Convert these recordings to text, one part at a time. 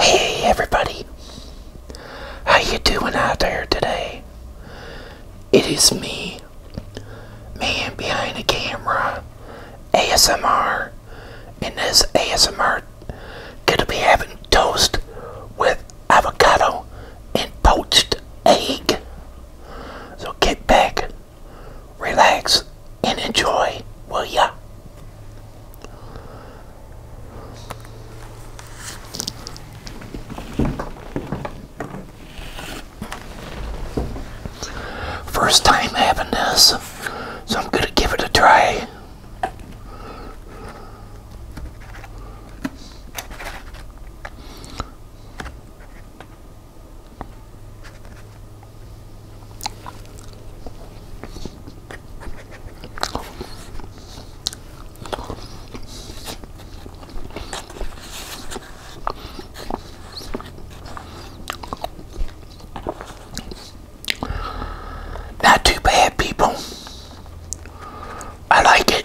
Hey everybody, how you doing out there today? It is me, man behind the camera, ASMR, and this ASMR gonna be having toast with avocado and poached egg. So get back, relax, and enjoy, will ya? First time having this, so I'm gonna give it a try. Not too bad, people. I like it.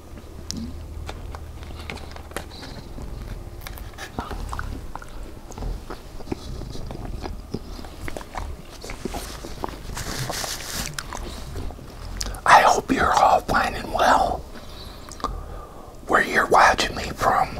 I hope you're all planning well where you're watching me from.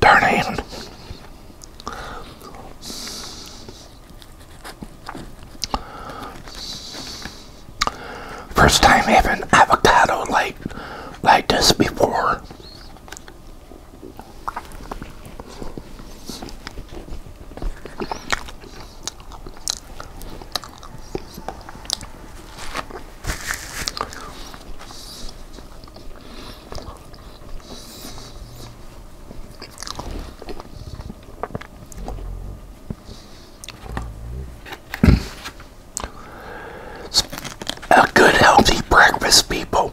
Darn it. First time having avocado like like this before. A good healthy breakfast, people.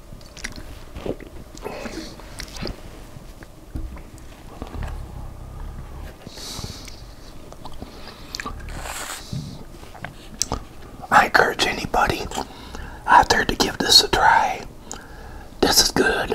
I encourage anybody out there to give this a try. This is good.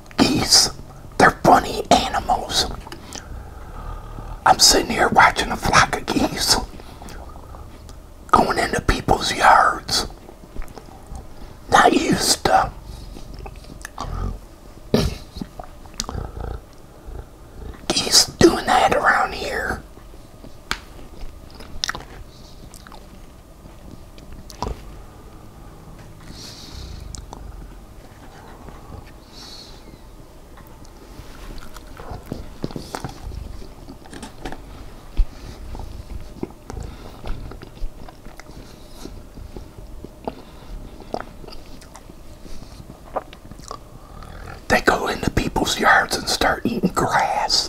geese. They're funny animals. I'm sitting here watching a flock of geese going into people's yards. Not used to. Geese doing that around here. They go into people's yards and start eating grass.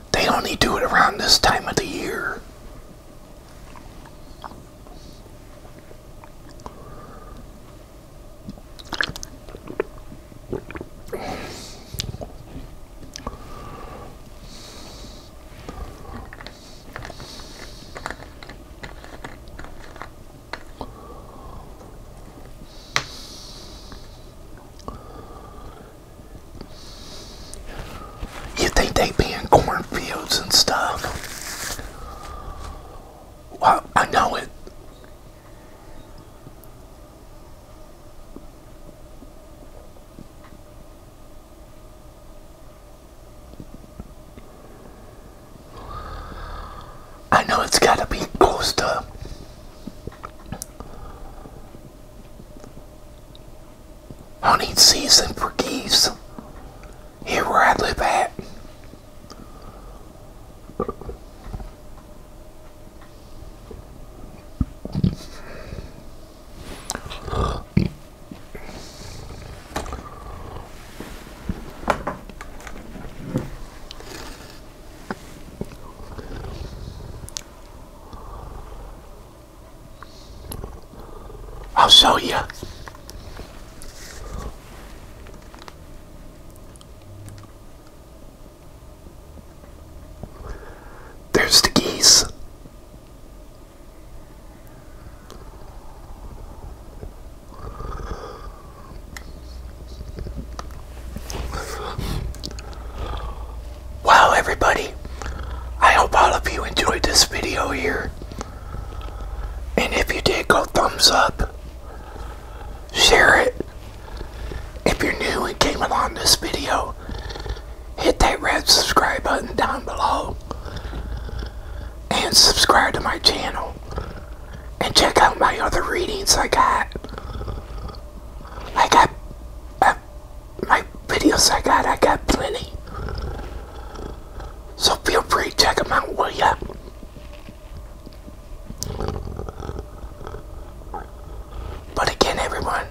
They only do it around this time of the year. You think they be in cornfields and stuff? Well, I know it. I know it's got to be close to hunting season for geese here where I live at. I'll show you. There's the geese. Wow, everybody. I hope all of you enjoyed this video here. And if you did, go thumbs up. Share it. If you're new and came along this video, hit that red subscribe button down below. And subscribe to my channel and check out my other readings I got. I got uh, my videos I got, I got plenty. So feel free to check them out, will ya? But again, everyone,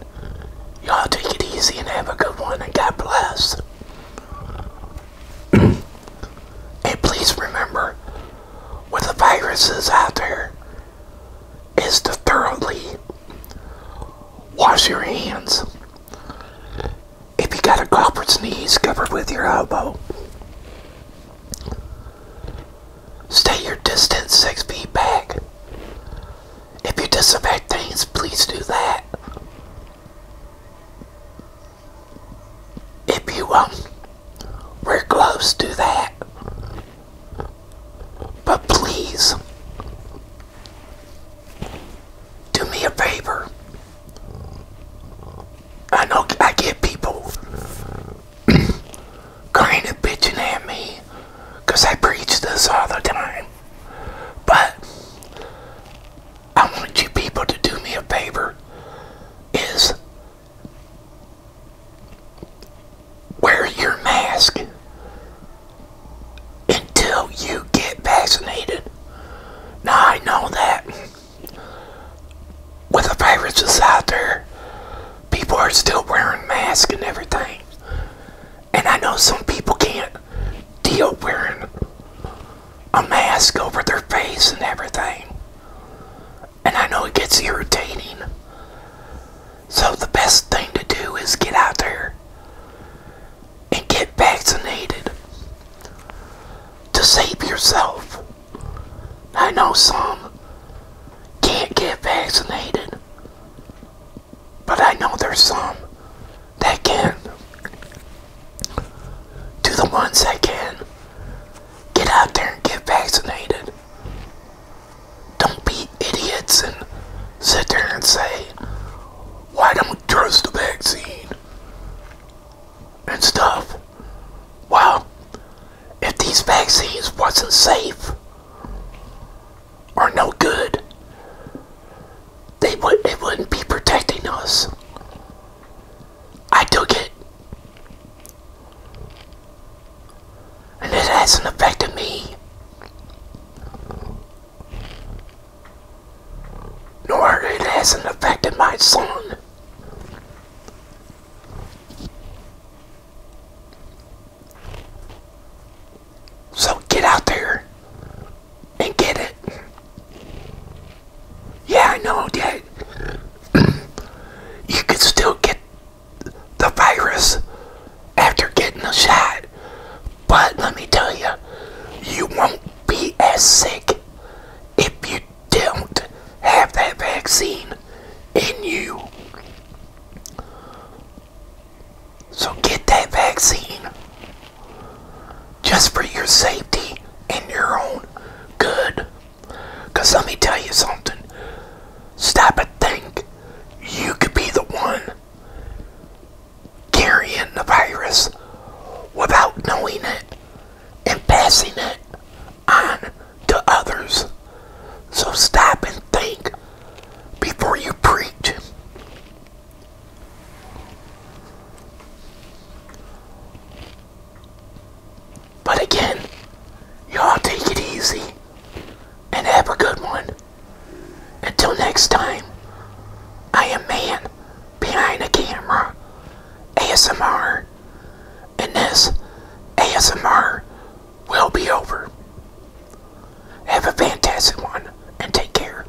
y'all take it easy and have a good one, and God bless. and please remember with the viruses out there is to thoroughly wash your hands. If you got a cough or sneeze, cover with your elbow. Stay your distance six feet back. If you disinfect things, please do that. If you um we're close to that. But please, do me a favor. I know I get people kind and bitching at me because I preach this all the time. But I want you people to do me a favor is Wear your mask until you get vaccinated. Now I know that with the virus viruses out there, people are still wearing masks and everything. And I know some people can't deal wearing a mask over their face and everything. And I know it gets irritating. So the best thing to do is get out there and get vaccinated to save yourself. I know some can't get vaccinated, but I know there's some that can. To the ones that can, Get out there and get vaccinated. Don't be idiots and sit there and say, why don't we trust the vaccine? And stuff. Well, if these vaccines wasn't safe or no good, they would it wouldn't be protecting us. I took it. And it hasn't affected me. Nor it hasn't affected my son. So get out there and get it. Yeah, I know that you could still get the virus after getting the shot. But let me tell you, you won't be as sick if you don't have that vaccine in you. So get that vaccine just for your safety and your own good. Because let me tell you something. Stop and think. You could be the one carrying the virus without knowing it and passing it on to others. So stop and think before you preach. But again, y'all take it easy and have a good one. Until next time, I am man behind the camera, ASMR, and this ASMR will be over. Have a fantastic one and take care.